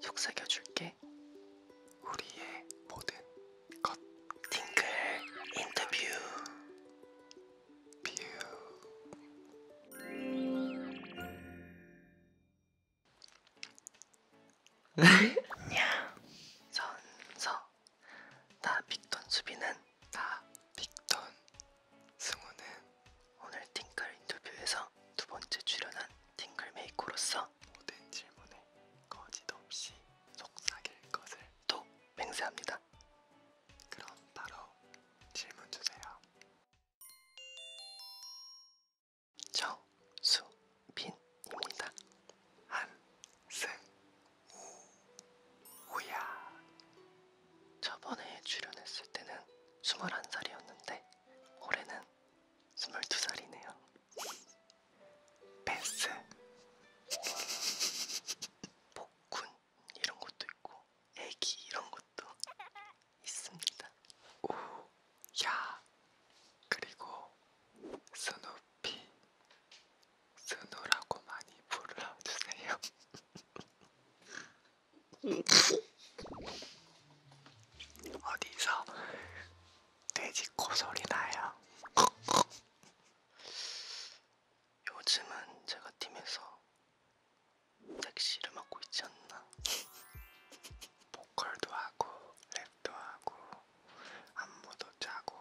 속삭여줄게. 우리의 모든 것. 팅클 인터뷰. 뷰. 야. 선서. 나 빅톤 수비는 나 빅톤. 승우는 오늘 팅클 인터뷰에서 두 번째 출연한 팅글 메이커로서 모든 질문에 거짓 없이 속삭일 것을 또 맹세합니다. 그럼 바로 질문 주세요. 정수빈입니다. 한승우야. 저번에 출연했을 때는 21살이었는데 올해는 22살이네요. 베스 복군 이런 것도 있고 애기 이런 것도 있습니다. 오, 야, 그리고 스누피, 스누라고 많이 불러주세요. 어디서 돼지 코소리 나요. 요즘은 제가 팀에서 낚시를 맡고 있지 않나? 보컬도 하고 랩도 하고 안무도 짜고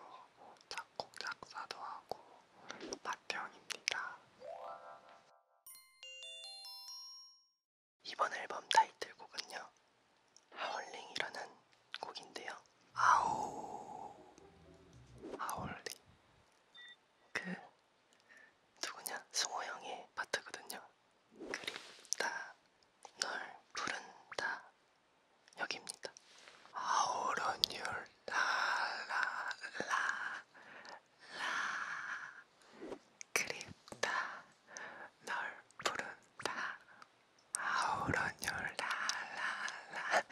작곡 작사도 하고 마태형입니다. 이번 앨범 타이틀곡은요. 하울링이라는 곡인데요. 아우 하울링 그 누구냐 승호 형의 파트거든요. 그립다 널 부른다 여기입니다. 아우런 율 라라라 라 그립다 널 부른다. 아우러뉴 라라라.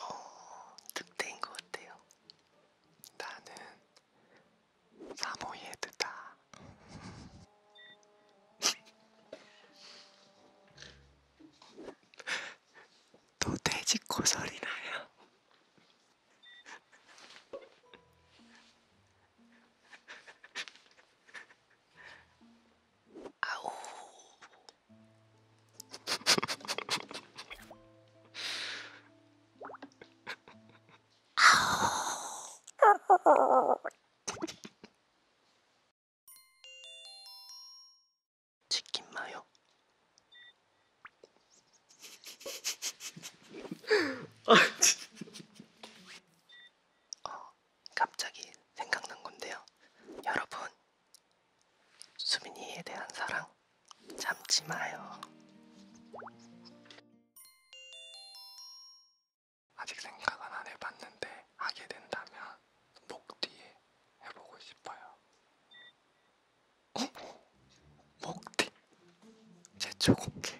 어, 늑대인 것 같아요. 나는 사모예드다. 또 돼지 코설이 나요. 아우 아우 치킨 마요 어, 갑자기 생각난 건데요. 여러분, 수민이에 대한 사랑 참지 마요. 아직 생각은 안 해봤는데 하게 된다면 목 뒤에 해보고 싶어요. 어? 먹튀 제초 공개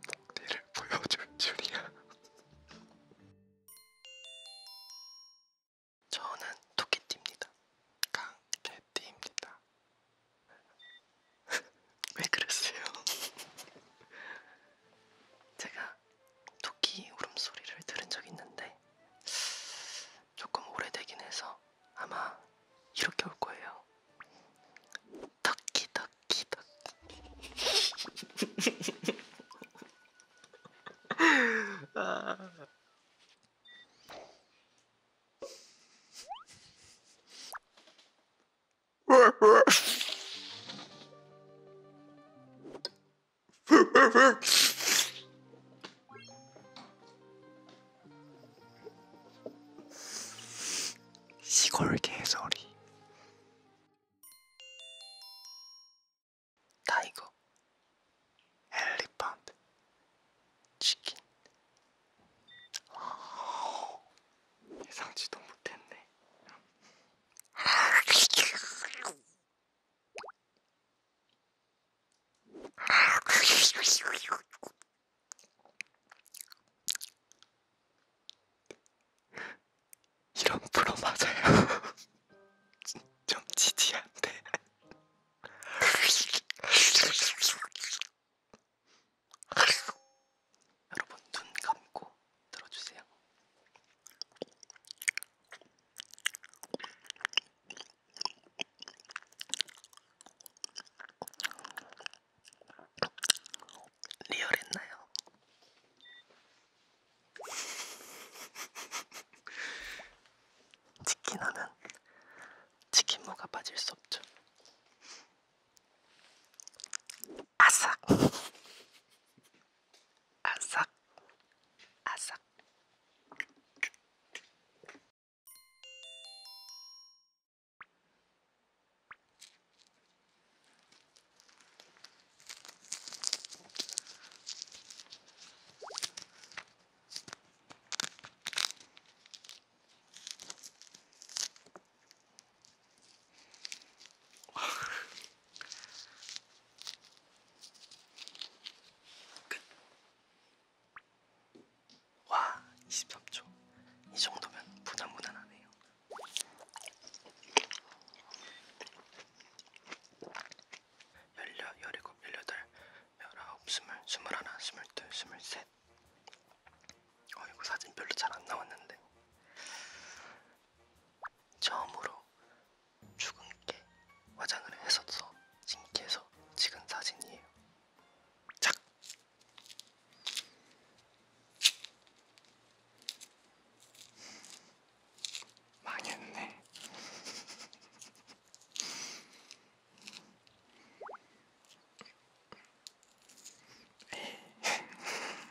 먹튀를 보여줄 줄이야 저는 토끼띠입니다 강개띠입니다 왜 그랬어요? 제가 토끼 울음소리를 들은 적이 있는데 조금 오래되긴 해서 아마 이렇게 올 거예요. 토끼 토끼 토끼 아... 시골 개소리 타이거 엘리펀트 치킨 아, 예상치도 못했네 이런 프로 맞아요. 좀 지지한데. 여러분 눈 감고 들어주세요. 리얼했나요? 치킨 하면 치킨무가 빠질 수 없죠. 아삭! 아삭 아삭 끝. 와, 23초. 이 정도면 무난 무난하네요. 열려, 열일곱, 열여덟, 열아홉, 스물, 스물하나, 스물둘, 스물셋. 어, 이거 사진 별로 잘 안 나왔는데. 처음으로 주근깨 화장을 했었어. 신기해서 찍은 사진이에요. 착! 망했네.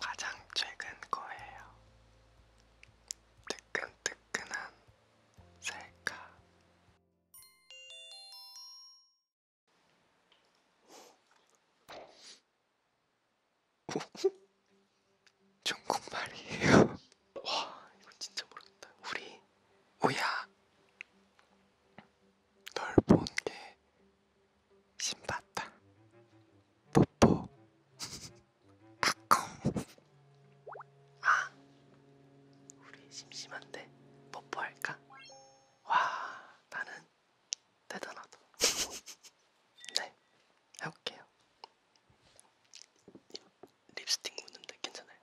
가장 최근 거예요. 뜨끈뜨끈한 셀카. 중국말이에요. 와, 이거 진짜 모르겠다. 우리 우야 널본게 신받다. 뽀뽀. 까꿍. 아, 우리 심심한데 뽀뽀할까? 와, 나는 대단하다. 네, 해볼게요. 립스틱 묻는데 괜찮아요?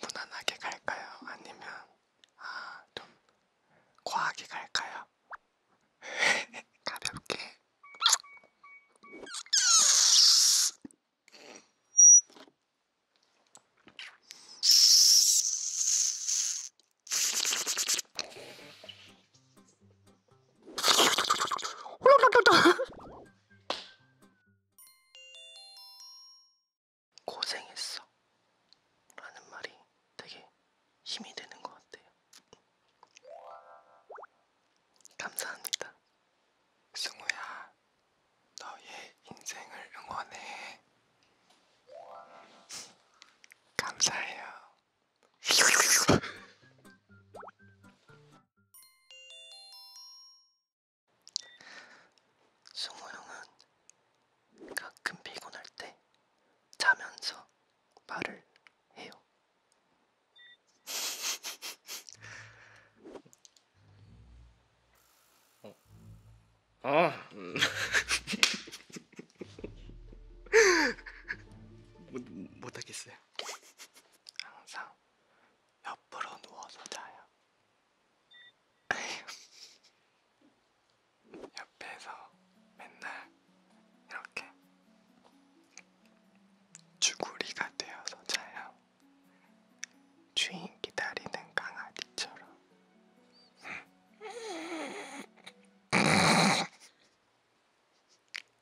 무난하게 갈까요? 아니면 아, 좀 과하게 갈까요? 가볍게 고생했어 라는 말이 되게 힘이 되는 것 같아요. 감사합니다. 승우야. 너의 인생을 응원해. 감사해요. 승우 형은 가끔 피곤할 때 자면서 말을 해요. 아. 못, 못하겠어요. 항상 옆으로 누워서 자요. 옆에서 맨날 이렇게 주구리가 되어서 자요. 주인 기다리는 강아지처럼.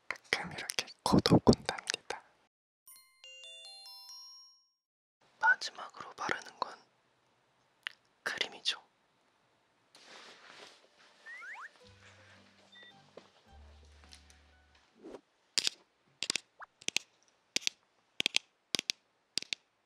가끔 이렇게 고독군답니다. 마지막으로 바르는 건 크림이죠.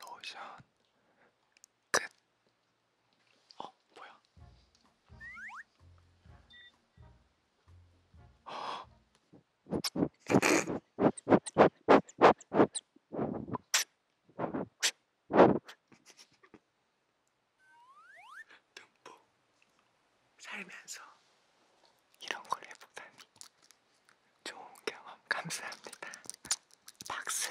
로션 끝. 어 뭐야? 듬뿍 살면서 이런 걸 해보다니 좋은 경험 감사합니다. 박수.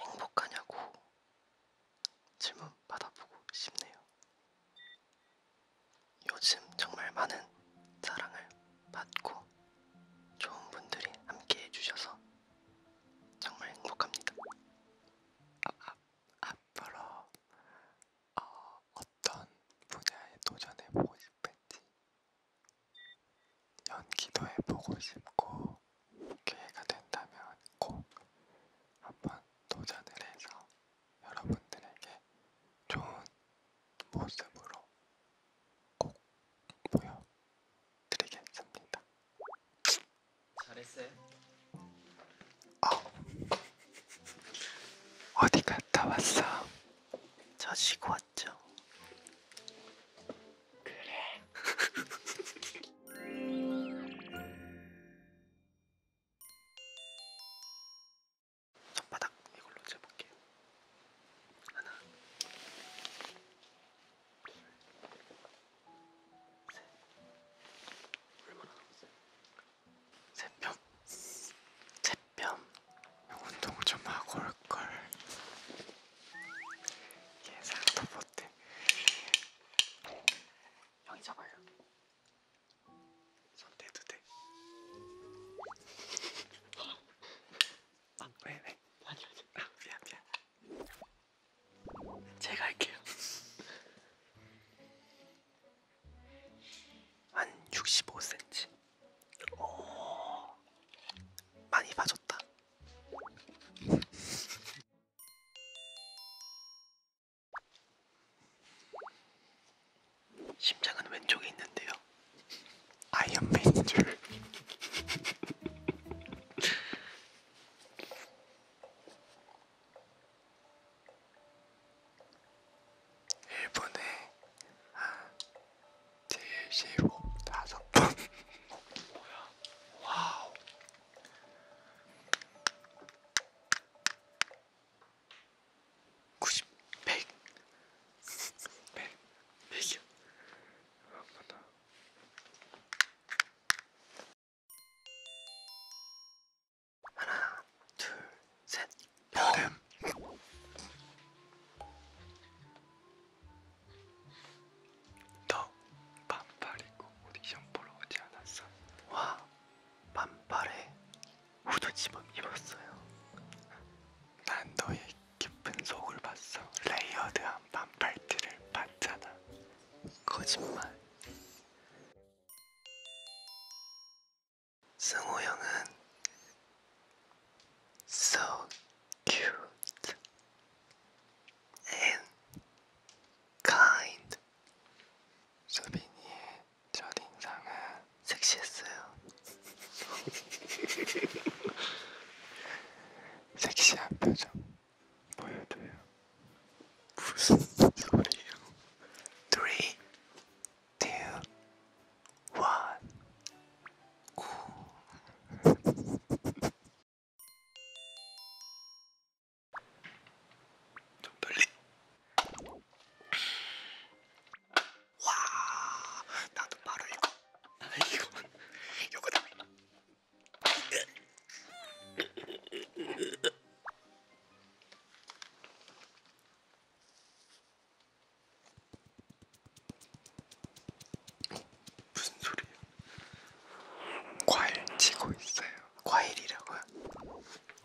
행복하냐고 질문 받아보고 싶네요. 요즘 정말 많은 사랑을 받고 좋은 분들이 함께 해주셔서 정말 행복합니다. 아, 아, 앞으로 어, 어떤 분야에 도전해보고 싶은지 연기도 해보고 싶고 기회가 된다면 꼭 한번 도전을 해서 여러분들에게 좋은 모습으로 꼭 보여드리겠습니다. 잘했어요. 어. 어디 갔다 왔어? 자식 왔죠. 손바닥 이걸로 재볼게요. 하나, 둘, 셋. 얼마나 남았어요? 세 뼘, 세 뼘. 운동 좀 하고 올 걸. 예상도 못해. 같아. 형이 잡아요. 손 대도 돼. 아, 왜 왜? 아니 아니. 아, 미안 미안. 제가 할게요. 한 65cm. 오, 많이 봐줬다. 심장은 왼쪽에 있는데요. 아이언맨인 줄. 일본에 한 75, 5번. 뭐야? 와우. 90, 100, 100, 100이야. 한번 더. 하나, 둘, 셋, 여름. 너 반팔 입고 오디션 보러 오지 않았어? 와 반팔에 후드 집어 입었어요. 난 너의 깊은 속을 봤어. 레이어드한 반팔티를 봤잖아. 거짓말. 승호 형은 so cute and kind. 소빈이의 첫인상은 섹시했어요. 섹시한 표정 보여줘요. 무슨 소리예요? 3, 2, 1. 오. 빨리. 와, 나도 바로 이거. 이거. 요거다. 무슨 소리야? 과일 치고 있어요. 과일이라고요?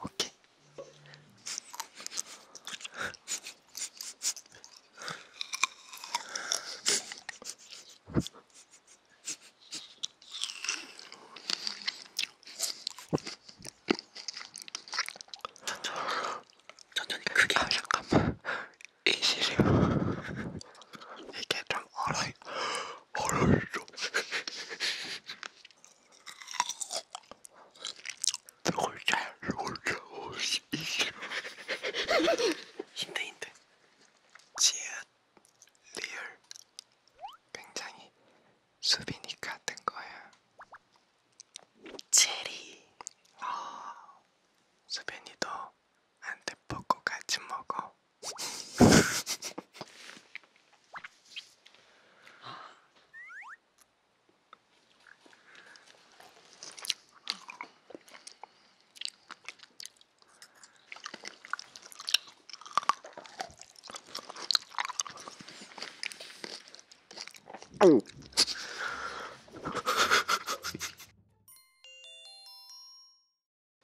오케이. 천천히 크게 아, 잠깐만 이시리요 이게 좀 얼어요 알았어. 골자, 골자, 이게 힘든 힘든. 지읒 리얼 굉장히 수빈이 같은 거야. 체리. 아, 수빈이도 안돼 먹고 같이 먹어.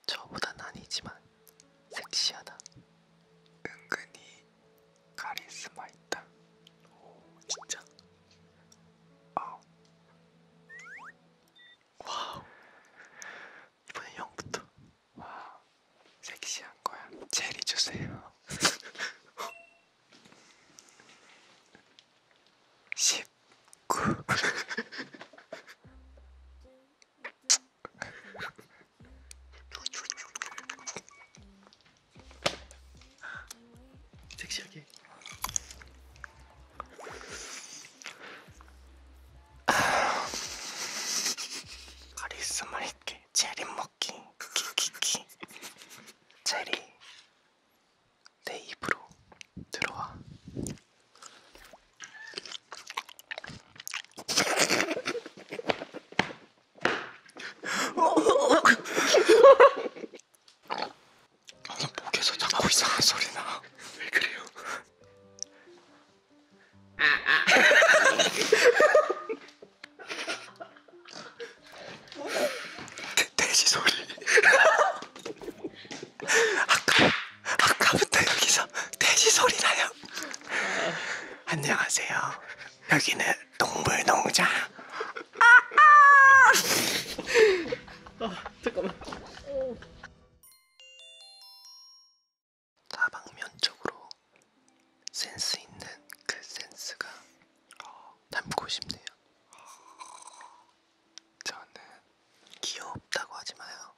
저보단 아니지만 섹시하다. 은근히 카리스마 있다. 오 진짜. 아. 와우. 이번엔 형부터. 와. 섹시한 거야. 체리 주세요. 19 섹시하게 카리스마 있게 체리 먹기 키키키 체리 내 입으로 들어와 목에서 자꾸 이상한 소리 나. 왜 그래요? 돼, 아, 아. 돼지 소리. 아까, 아까부터 여기서 돼지 소리 나요. 안녕하세요. 여기는 동물농장. 아, 잠깐만. 다방면적으로 센스 있는 그 센스가 닮고 어, 싶네요. 저는 귀엽다고 하지 마요.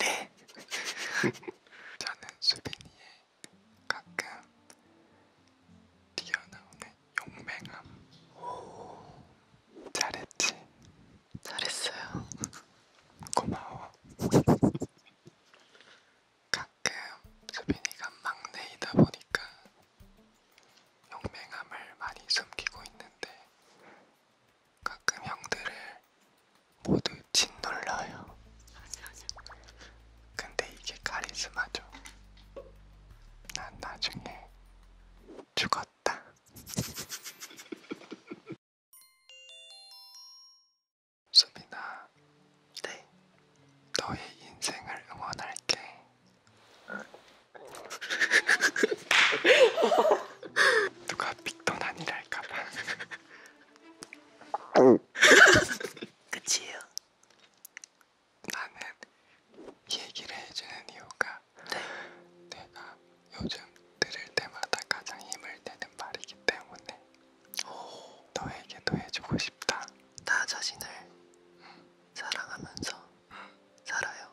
네. 저는 수빈이의 가끔 튀어나오는 용맹함. 오, 잘했지. 잘했어요. 고마워. 가끔 수빈이가 막내이다 보니까 용맹함을 많이 숨기고 있는데 가끔 형들을 모두 짓눌러요. 근데 이게 카리스마죠. 난 나중에 죽었다. 수빈아, 네. 너의 인생을 응원할게. 아. 누가 빅돈 아니랄까봐 끝이에요 나는 얘기를 해주는 이유가 네. 내가 요즘 들을 때마다 가장 힘을 내는 말이기 때문에 오. 너에게도 해주고 싶다 나 자신을 응. 사랑하면서 응. 살아요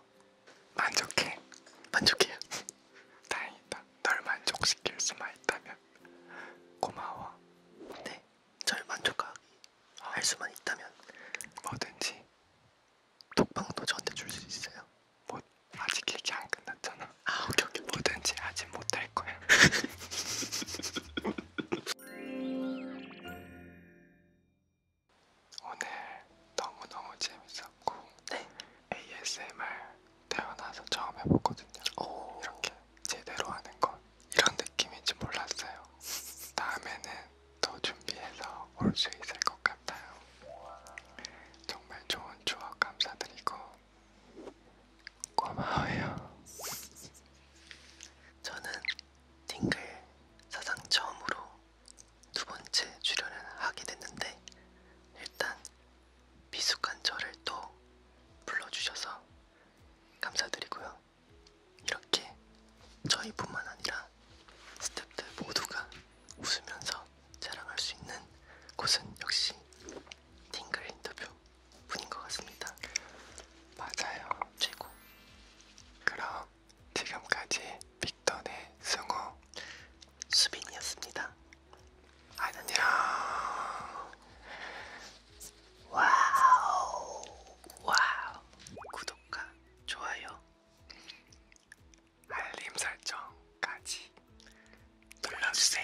만족해. 만족해요. 다행이다. 널 만족시킬 수만 있다면 고마워. 네, 절 만족할 어. 수만 있다면 뭐든지 독방도 저한테 줄 수 있어요. 뭐 아직 얘기 안 끝났잖아. 아, 오케이 오케이. 뭐든지 아직 못 할 거야. 오늘 너무너무 재밌었고 네. ASMR 태어나서 처음 해보거든요. 오. 이렇게 제대로 하는 것 이런 느낌인지 몰랐어요. 다음에는 더 준비해서 올 수 있을 것 같아요. 정말 좋은 추억 감사드리고 고마워요. 저는 딩글 사상 처음으로 두 번째 출연을 하게 됐는데 일단 미숙한 저를 또 불러주셔서 감사드리고요. 이렇게 저희뿐만 아니라 스탭들 모두가 웃으면서 자랑할 수 있는 곳은 역시 팅글 인터뷰 뿐인 것 같습니다. 맞아요. 최고. 그럼 지금까지 빅 있던의 승우 수빈이었습니다. 안녕. 와우 와우 구독과 좋아요 알림 설정까지 눌러주세요.